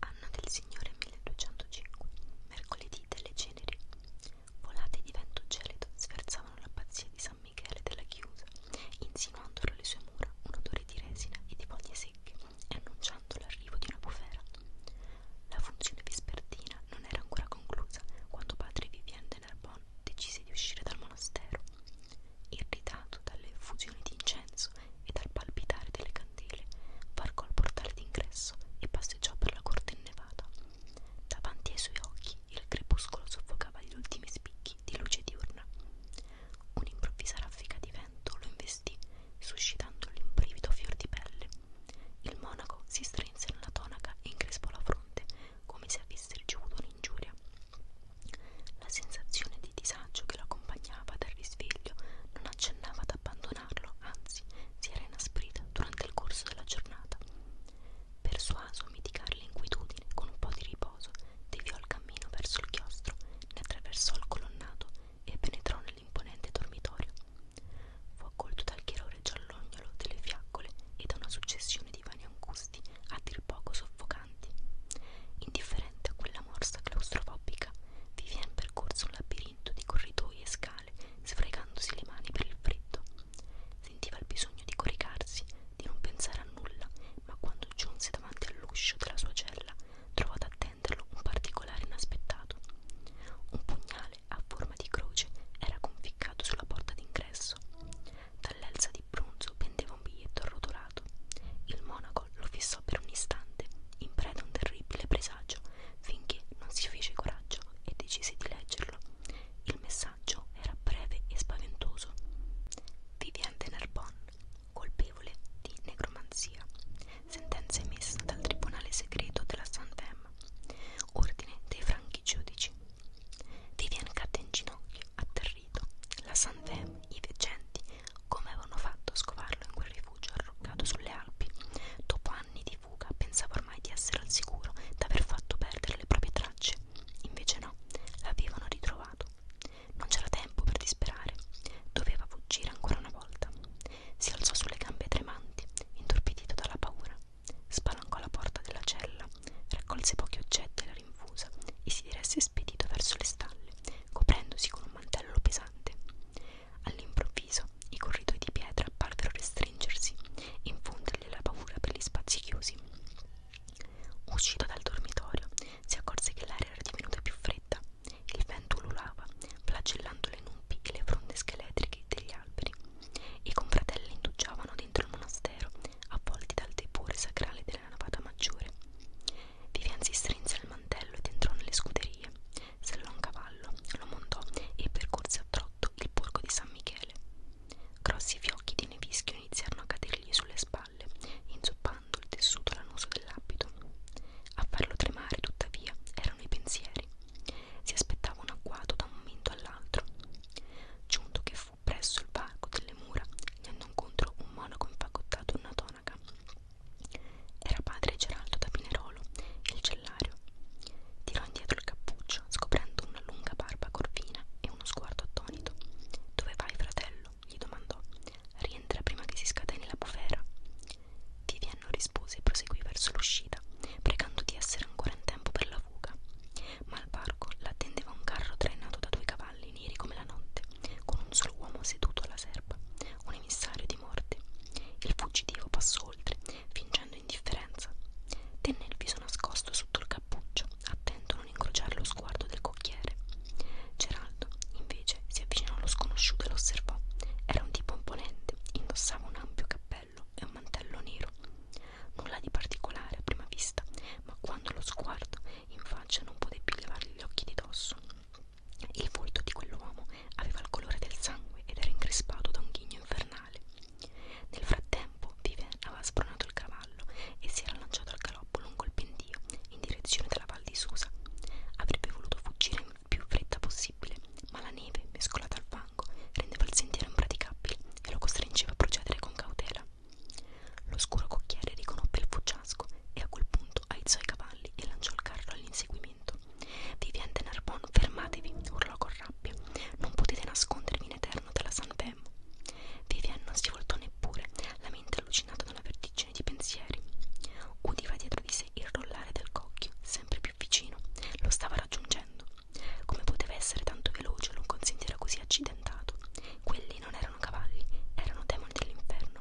Anna del Signore 1205 Mercoledì delle ceneri Volate di vento gelido sferzavano l'abbazia di San Michele della chiusa insinuando tra le sue mura un odore di resina e di foglie secche e annunciando l'arrivo di una bufera la funzione vespertina non era ancora conclusa quando padre Vivien Villers-Ténarbonne decise di uscire dal monastero, irritato dalle effusioni di incenso e dal palpitare delle candele, varcò il portale d'ingresso e passeggiò per la corte innevata. Davanti ai suoi occhi il crepuscolo soffocava gli ultimi spicchi di luce diurna. Un'improvvisa raffica di vento lo investì, suscitandogli un brivido fior di pelle. Il monaco si strinse nella tonaca e increspò la fronte, come se avesse ricevuto un'ingiuria. La sensazione di disagio che l'accompagnava dal risveglio non accennava ad abbandonarlo, anzi si era inasprita durante il corso della giornata. Persuaso a mitigare l'inquietudine con un po' di riposo, deviò il cammino verso il chiostro, ne attraversò il colonnato e penetrò nell'imponente dormitorio fu accolto dal chiarore giallognolo delle fiaccole e da una successione di vani angusti a dir poco soffocanti. Indifferente a quella morsa claustrofobica, Vivian percorse un labirinto di corridoi e scale, sfregandosi le mani per il freddo. Sentiva il bisogno di coricarsi, di non pensare a nulla, ma quando giunse davanti all'uscio della sua cella, trovò ad attenderlo un particolare inaspettato. Un pugnale murale a forma di croce era conficcato sulla porta d'ingresso. Dall'elsa di bronzo pendeva un biglietto arrotolato. Il monaco lo fissò per un istante, in preda a un terribile presagio, finché non si fece coraggio e decise di leggerlo. Il messaggio era breve e spaventoso. Vivian de Narbonne, colpevole di necromanzia. Sentenza emessa dal tribunale segreto della Santem. Ordine dei franchi giudici. Vivian cadde in ginocchio, atterrito. La Sanfem, i veggenti, come avevano fatto a scovarlo in quel rifugio arroccato sulle Alpi? Dopo anni di fuga, pensava ormai di essere al sicuro, d'aver fatto perdere le proprie tracce. Invece no, l'avevano ritrovato. Non c'era tempo per disperare. Doveva fuggire ancora una volta. Si alzò sulle gambe tremanti, intorpidito dalla paura. Spalancò la porta della cella, raccolse pochi oggetti alla rinfusa e si diresse spedito verso le stalle, coprendosi con un mantello pesante. All'improvviso i corridoi di pietra parvero restringersi e infondergli la paura per gli spazi chiusi. Uscito dal dormitorio, si accorse che l'aria era divenuta più fredda, il vento ululava, flagellandole le nubi e le fronde scheletriche degli alberi, i confratelli indugiavano dentro il monastero, avvolti dal tepore sacrale della navata maggiore. Vivian si strinse il mantello ed entrò nelle scuderie. Sellò un cavallo, lo montò e percorse a trotto il borgo di San Michele. Grossi fiocchi di nevischio iniziarono a cadergli sulle spalle, inzuppando il tessuto lanoso dell'abito. A farlo tremare, tuttavia, erano i pensieri. Si aspettava un agguato da un momento all'altro. Giunto che fu presso il parco delle mura gli andò incontro un monaco infagottato in una tonaca. Era padre Geraldo da Pinerolo, il cellario. Tirò indietro il cappuccio, scoprendo una lunga barba corvina e uno sguardo attonito. Dove vai, fratello? gli domandò. Rientra prima che si scateni la bufera. Viviano rispose e proseguì verso l'uscita, pregando di essere ancora in tempo per la fuga ma al parco l'attendeva un carro trainato da due cavalli neri come la notte, con un solo uomo seduto alla serpa, un emissario di morte. Il fuggitivo passò oltre, fingendo indifferenza. Tenne il viso nascosto sotto il cappuccio, attento a non incrociare lo sguardo del cocchiere. Geraldo, invece, si avvicinò allo sconosciuto e lo osservò. Era un tipo imponente, indossava un ampio cappello cappello e un mantello nero. Nulla di particolare a prima vista, ma quando lo sguardo in faccia non poté più levargli gli occhi di dosso. Il volto di quell'uomo aveva il colore del sangue ed era increspato da un ghigno infernale. Nel frattempo, Vivien aveva spronato il cavallo e si era lanciato al galoppo lungo il pendio in direzione della Val di Susa. Avrebbe voluto fuggire in più fretta possibile, ma la neve, mescolata al vano, branco rendeva il sentiero impraticabile e lo costringeva a procedere con cautela. L'oscuro cocchiere riconobbe il fuggiasco e a quel punto aizzò i cavalli e lanciò il carro all'inseguimento. Vivian de Narbon, fermatevi, urlò con rabbia. Non potete nascondervi in eterno dalla San Femmo. Vivian non si voltò neppure, la mente allucinata da una vertigine di pensieri. Udiva dietro di sé il rollare del cocchio, sempre più vicino. Lo stava raggiungendo. Come poteva essere tanto veloce lungo un sentiero così accidentato? Quelli non erano cavalli, erano demoni dell'inferno.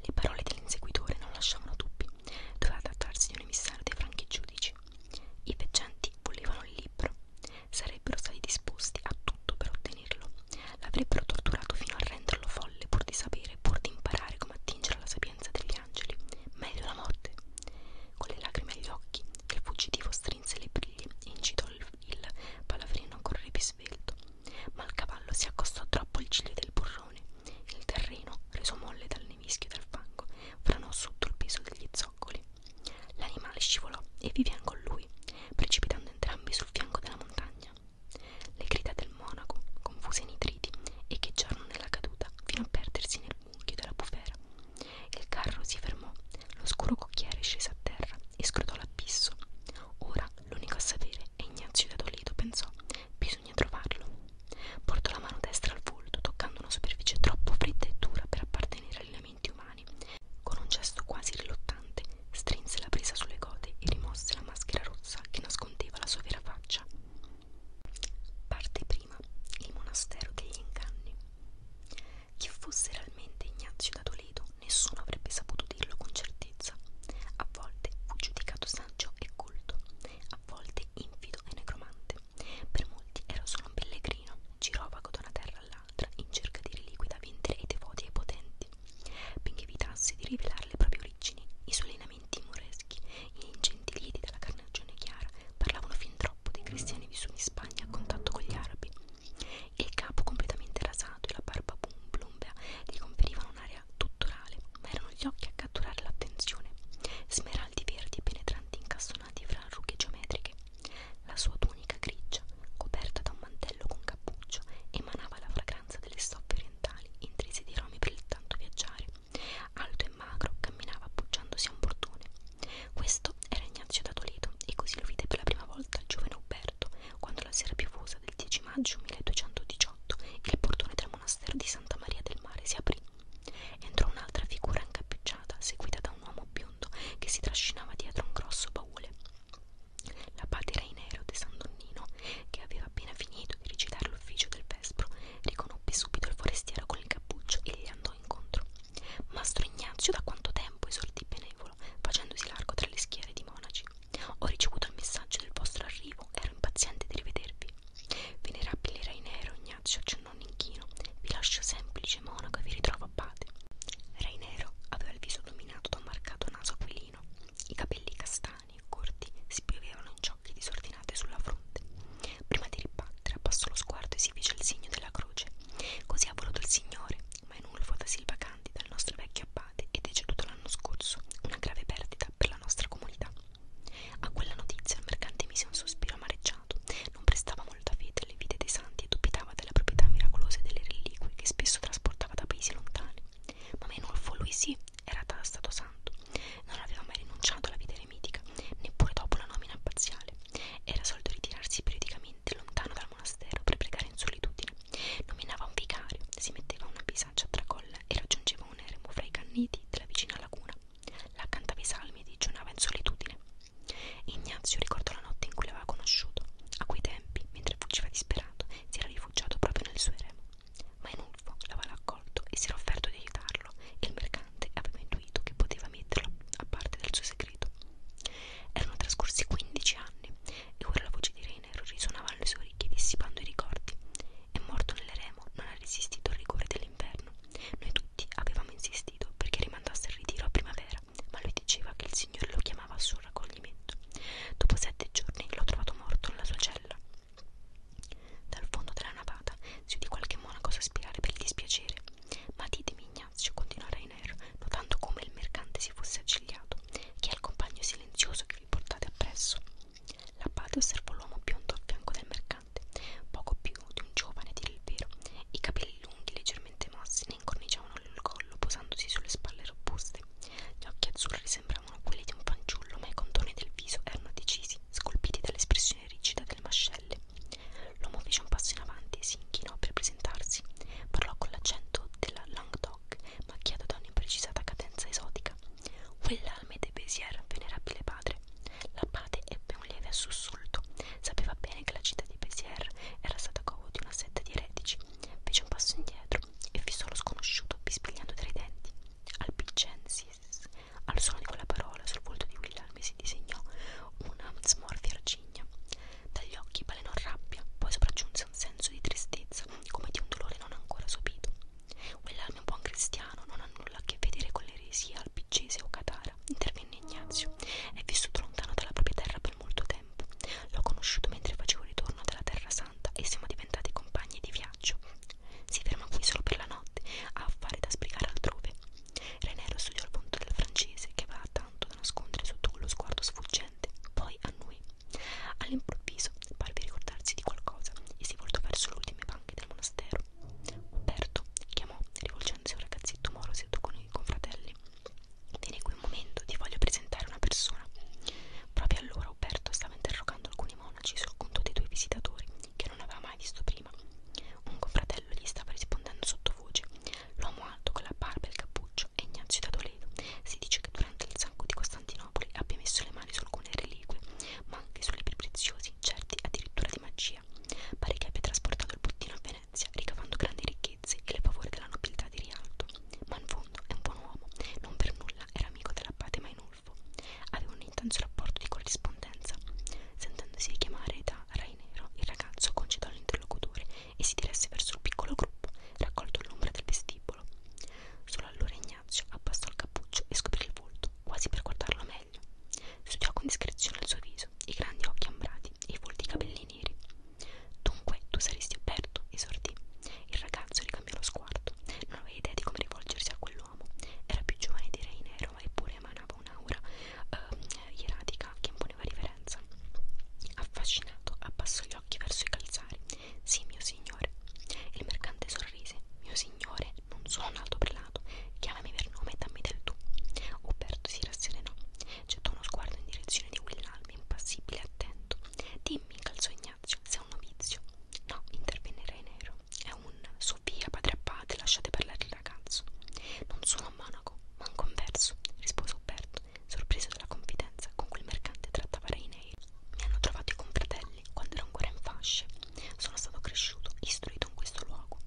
Le parole dell'inseguitore non lasciavano dubbi. Doveva trattarsi di un emissario dei franchi giudici. I veggenti volevano il libro. Sarebbero stati disposti a tutto per ottenerlo. L'avrebbero torturato fino a renderlo folle pur di sapere, pur di imparare come attingere alla sapienza degli angeli. Meglio la morte. Con le lacrime agli occhi, il fuggitivo strinse strinse le briglie e incitò il, il palavrino a correre più svelto. Ma il cavallo si accostò troppo al ciglio del burrone. Il terreno, reso molle dal nevischio e dal fango, franò sotto il peso degli zoccoli. L'animale scivolò e Vivian con lui, precipitando entrambi sul fianco della montagna. Le grida del monaco, confuse in nitriti, echeggiarono nella caduta fino a perdersi nel mucchio della bufera. Il carro si fermò, l'oscuro cocchiere scese a terra e scrutò l'abbisso. Ora l'unico a sapere è Ignazio da Toledo, pensò, bisogna trovarlo. Portò la mano destra al volto, toccando una superficie troppo fredda e dura per appartenere agli elementi umani. Con un gesto quasi rilottante, strinse la presa sulle gote e rimosse la maschera rossa che nascondeva la sua vera faccia. Parte prima il monastero degli inganni. Chi fosse realmente Ignazio da Toledo nessuno avrebbe saputo dirlo con certezza. A volte fu giudicato saggio e colto, a volte infido e necromante. Per molti era solo un pellegrino, girovago da una terra all'altra in cerca di reliquie da vendere ai devoti e ai potenti. Benché evitasse di rivelare le proprie origini, i suoi lineamenti moreschi, gli ingenti lieti dalla carne ragione chiara, parlavano fin troppo dei cristiani vissuti in Spagna a contatto con gli arabi. Il capo completamente rasato e la barba plumbea gli conferivano un'area tutturale, ma erano gli occhi a catturare l'attenzione, smeraldi verdi penetranti incastonati fra rughe geometriche. La sua tunica grigia, coperta da un mantello con cappuccio, emanava la fragranza delle stoffe orientali intrise di romi per il tanto viaggiare. Alto e magro, camminava appoggiandosi a un portone, questo era Ignazio da Toledo e così lo vide per la prima volta il giovane Uberto quando la sera piovosa del 10 maggio 1218 il portone del monastero di Santa Maria del Mare si aprì. Entrò un'altra figura incappucciata seguita da un uomo biondo che si trascinava dietro un grosso baule. L'abate Rainero de San Donnino, che aveva appena finito di recitare l'ufficio del vespro, riconobbe subito il forestiero con il cappuccio e gli andò incontro. Mastro Ignazio da quanto tempo esordì benevolo, facendosi largo tra le schiere di monaci. Ho ricevuto il messaggio del vostro arrivo, ero impaziente di rivedervi. Venerabile Rainero, Ignazio accennò un inchino. Vi lascio semplice monaco e vi ritrovo abate. Rainero aveva il viso dominato da un marcato naso aquilino. I capelli castani, corti, si piovevano in ciocche disordinate sulla fronte. Prima di trappassò lo sguardo e si fece il segno della croce. Così ha voluto il Signore, ma è nulfo da Silva Candida, il nostro vecchio abate, è deceduto l'anno scorso, una grave perdita per la nostra comunità. A quella notizia il mercante mise un sospiro amareggiato, non prestava molta fede alle vite dei santi e dubitava della proprietà miracolosa delle reliquie che spesso trasportava da paesi lontani. Ma Menulfo, lui sì, era stato santo, non aveva mai rinunciato alla vita eremitica, neppure dopo la nomina abbaziale. Era solito ritirarsi periodicamente lontano dal monastero per pregare in solitudine. Nominava un vicario, si metteva una bisaccia a tracolla e raggiungeva un eremo fra i canneti della vicina laguna. Là cantava i salmi e digiunava in solitudine. Ignazio ricordò la notte in cui l'aveva conosciuto. A quei tempi, mentre fuggiva disperato, si era rifugiato proprio nel suo eremo. Ma Enulfo l'aveva accolto e si era offerto di aiutarlo e il mercante ignorante aveva intuito che poteva metterlo a parte del suo segreto. Erano trascorsi 15 anni e ora la voce di Rainer risuonava alle sue orecchie dissipando i ricordi. È morto nelle remo, non ha resistito al rigore dell'inverno. Noi tutti avevamo insistito perché rimandasse il ritiro a primavera, ma lui diceva che il Signore lo chiamava al suo raccoglimento. Dopo sette giorni l'ho trovato morto nella sua cella. Dal fondo della navata si udì qualche monaco sospirare per il dispiacere. Ma ditemi Ignazio, continuò Rainer, notando come il mercante si fosse accigliato, chi è il compagno silenzioso che vi portate appresso? L'abbate osservò l'uomo biondo a fianco del mercante, poco più di un giovane a dire il vero. I capelli lunghi, leggermente mossi, ne incorniciavano il collo, posandosi sulle spalle robuste. Gli occhi azzurri sembravano quelli di un fanciullo, ma i contorni del viso erano decisi, scolpiti dall'espressione rigida delle mascelle. L'uomo fece un passo in avanti e si inchinò per presentarsi. Parlò con l'accento della Languedoc, macchiato da un'imprecisata cadenza esotica. Quell'alme de Bézier, venerabile padre. L'abate ebbe un lieve sussulto. Sapeva bene che la città di Bézier era stata covo di una setta di eretici. Fece un passo indietro e fissò lo sconosciuto, bispigliando tra i denti. Alpicensis. Al suono di quella parola, sul volto di William si disegnò una smorfia ciglia. Dagli occhi balenò rabbia, poi sopraggiunse un senso di tristezza, come di un dolore non ancora sopito. Quell'alme buon cristiano non ha nulla a che vedere con l'eresia alpicese o catara, intervenne Ignazio. È vissuto lontano dalla propria terra per molto tempo. L'ho conosciuto mentre facevo ritorno dalla Terra Santa e siamo diventati compagni di viaggio. Si ferma qui solo per la notte, ha affari da sbrigare altrove. Renero studiò il punto del francese che aveva tanto da nascondere sotto quello sguardo sfuggente, poi annui. All'improvviso parve ricordarsi di qualcosa e si voltò verso le ultime banche del monastero. Umberto chiamò, rivolgendosi a un ragazzetto moro seduto con i confratelli. Tieni qui un momento, ti voglio presentare una persona. Proprio allora Umberto stava interrogando alcuni monaci sul conto dei due visitatori che non aveva mai visto prima. Un confratello gli stava rispondendo sottovoce, L'uomo alto con la barba e il cappuccio è Ignazio da Toledo. Si dice che durante il sacco di Costantinopoli abbia messo le mani su alcune reliquie, ma anche su libri preziosi, certi addirittura di magia. Pare che abbia trasportato il bottino a Venezia, ricavando grandi ricchezze e le favore della nobiltà di Rialto. Ma in fondo è un buon uomo, non per nulla era amico dell'abbate Mainulfo. Aveva un intenso rapporto di corrispondenza. Sentendosi richiamare da Rai Nero, il ragazzo concitò l'interlocutore e si diresse verso il piccolo gruppo, raccolto all'ombra del vestibolo. Solo allora Ignazio abbassò il cappuccio e scoprì il volto, quasi per guardarlo meglio. Studiò con discrezione il suo viso, i grandi occhi ambrati e i folti capelli neri. Dunque, tu saresti aperto, esordì. Il ragazzo ricambiò lo sguardo. Non aveva idea di come rivolgersi a quell'uomo. Era più giovane di Reinero, eppure emanava un'aura uh, ehm, ieratica che imponeva riverenza. Affascinato, abbassò gli occhi verso i calzari. Sì, mio signore. Il mercante sorrise. Mio signore, non sono un alto prelato. Chiamami per nome e dammi del tu. Uberto si rasserenò. Gettò uno sguardo in direzione di Willalmi, impassibile e attento. Dimmi, calzò Ignazio, sei un novizio. No, intervenne Re Nero. È un Sofia, padre a padre, lasciate parlare ragazzo. Non sono a Monaco, ma un converso, rispose Umberto, sorpreso dalla confidenza con cui il mercante trattava Reinei. Mi hanno trovato i confratelli quando ero ancora in fasce. Sono stato cresciuto, istruito in questo luogo.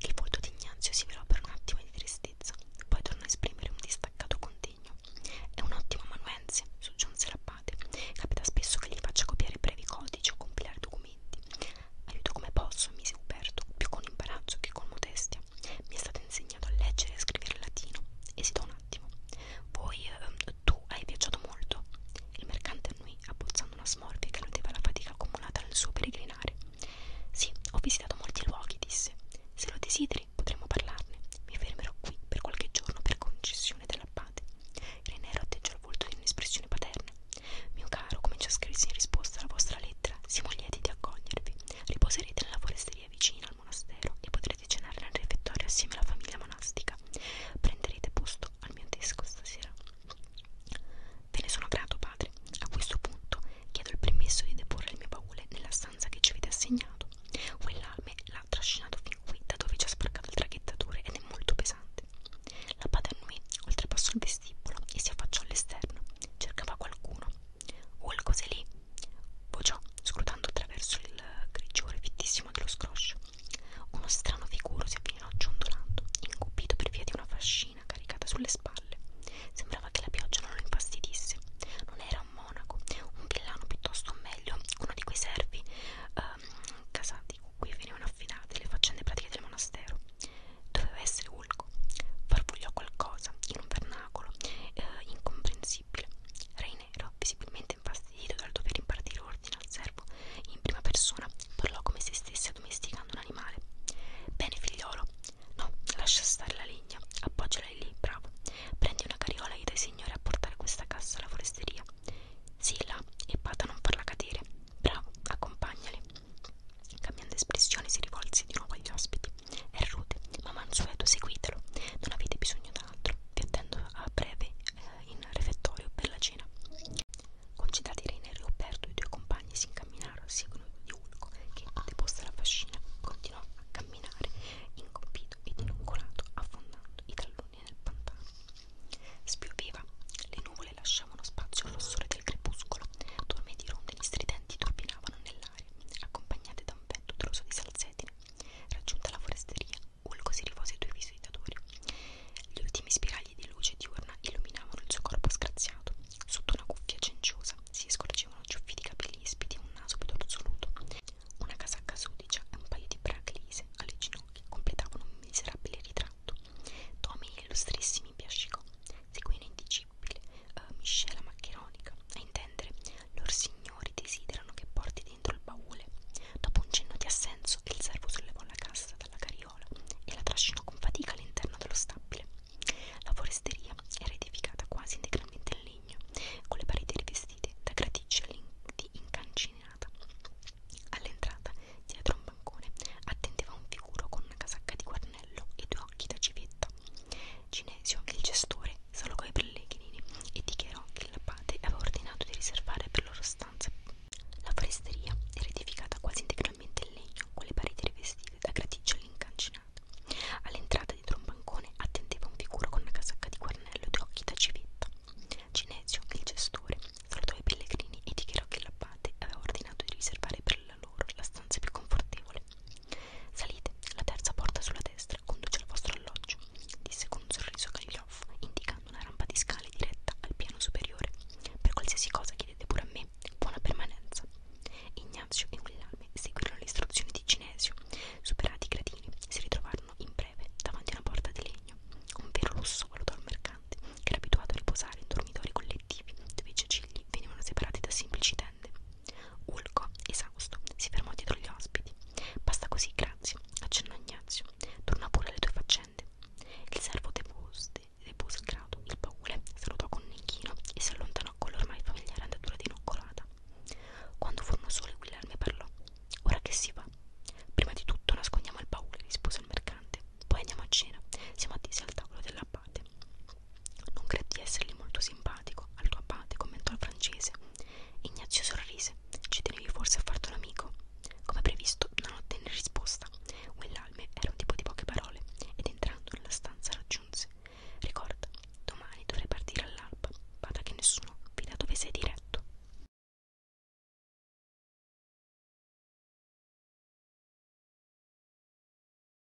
Il volto di Ignazio si velò per un attimo di tristezza, poi tornò a esprimere un distaccato contegno. È un ottimo amanuense, soggiunse l'abate. Capita spesso che gli faccia copiare brevi codici o compilare documenti. Aiuto come posso, mise Umberto, più con imbarazzo che con modestia insegnate. Mi è stato insegnato a leggere e a scrivere il latino. Esitò un attimo. Poi eh, tu hai viaggiato molto. Il mercante annui, abbozzando una smorfia che alludeva alla fatica accumulata nel suo peregrinare. Sì, ho visitato molti luoghi, disse. Se lo desideri, potremmo parlarne. Mi fermerò qui per qualche giorno per concessione dell'abbate. Renero atteggiò il volto di un'espressione paterna. Mio caro, comincia a scriversi in risposta alla vostra lettera. Siamo lieti di accogliervi. Riposerete nella foresteria vicina al monastero e potrete cenare nel refettorio assieme alla famiglia monastica. Prenderete posto al mio desco stasera. Ve ne sono grato, padre. A questo punto chiedo il permesso di deporre il mio baule nella stanza che ci avete assegnato. Quell'alme l'ha trascinato fin qui, da dove ci ha sparcato il traghettatore ed è molto pesante. La padre Nui oltrepassò il vestibolo e si affacciò all'esterno. Cercava qualcuno Hulk lì, vociò scrutando attraverso il grigiore fittissimo dello scroscio. Uno strano figuro si avvicinò ciondolando, incupito per via di una fascina caricata sulle spalle. Sembrava che la pioggia non lo infastidisse. Non era un monaco, un villano piuttosto, o meglio, uno di quei servi ehm, casati con cui venivano affidate le faccende pratiche del monastero. Doveva essere Ulco, farfugliò qualcosa in un vernacolo eh, incomprensibile. Re Nero, visibilmente infastidito dal dover impartire ordine al servo, in prima persona parlò come se stesse addomesticando un animale. Bene, figliolo, no, lascia stare la legna, appoggiala lì, bravo. Prendi una carriola e dai signore a portare questa cassa alla foresteria. Sì, là, e bada a non farla cadere. Bravo, accompagnali. Cambiando espressione si rivolse di nuovo agli ospiti. È rude, ma mansueto, seguitelo. Non avete bisogno d'altro. Vi attendo a breve eh, in refettorio per la cena. Concitati Reiner e Roberto, i due compagni si incamminarono a seguito di Ulco, che, deposta la fascina, continuò a camminare, incompito ed inoccolato, affondando i talloni nel pantano. Spioviva, le nuvole lasciavano spazio al rossore del crepuscolo, torme di rondini stridenti turbinavano nell'aria familiare, accompagnate da un vento truso di salsedine. Raggiunta la foresteria, Ulgo si rivolse ai due visitatori. Gli ultimi spiragli di luce diurna illuminavano il suo corpo scraziato. Sotto una cuffia cenciosa si scorgevano ciuffi di capelli ispidi e un naso pedorzoluto. Una casacca sudicia e un paio di brache lise alle ginocchia completavano un miserabile ritratto. Tommy illustrissimi piascicò seguì inindicibile uh, eh, miscela maccheronica. A intendere, lor signori desiderano che porti dentro il baule. Dopo un cenno di assenso, il servo sollevò la cassa dalla carriola e la trascinò con fatica all'interno dello stabile. La foresteria era edificata quasi integralmente in legno, con le pareti rivestite da graticcia di incancinata. All'entrata, dietro un bancone, attendeva un figuro con una casacca di guarnello e due occhi da civetta. Ginesio, il gestore, solo coi pellegrini e dichiarò che il padre aveva ordinato di riservare per loro stanze. La foresteria era edificata quasi integralmente in legno, con le pareti rivestite da graticcioli incancinati. All'entrata dietro un bancone attendeva un figuro con una casacca di guarnello e due occhi da civetta. Ginesio, il gestore, salutò i pellegrini e dichiarò che l'abate aveva ordinato di riservare per dalla loro la stanza è più confortevole. Salite, la terza porta sulla destra conduce al vostro alloggio, disse con un sorriso Kaliloff, indicando una rampa di scale diretta al piano superiore. Per qualsiasi cosa chiedete pure a me, buona permanenza. Ignazio e Guillame seguirono le istruzioni di Ginesio. Superati i gradini, si ritrovarono in breve davanti a una porta di legno. Un vero lusso valutò il mercante, che era abituato a riposare in dormitori collettivi, dove i cecilli venivano separati da semplici tende. Ulco, esausto, si fermò dietro gli ospiti. Basta così, grazie, accennò Ignazio. Torna pure alle tue faccende. Il servo depose il grado, il baule, salutò con un inchino e si allontanò con l'ormai familiare andatura di noccolata. Quando furono soli, Guillermo parlò. Ora che si va? Prima di tutto nascondiamo il baule, rispose il mercante. Poi andiamo a cena. Siamo attesi al tavolo dell'abbate. Non credi di essergli molto simpatico al tuo abate, commentò il francese. Ignazio sorrise. Ci tenevi forse a farti un amico? Come previsto, non ottenne risposta. Quell'alme era un tipo di poche parole ed entrando nella stanza raggiunse. Ricorda, domani dovrei partire all'alba. Bada che nessuno veda dove sei diretto.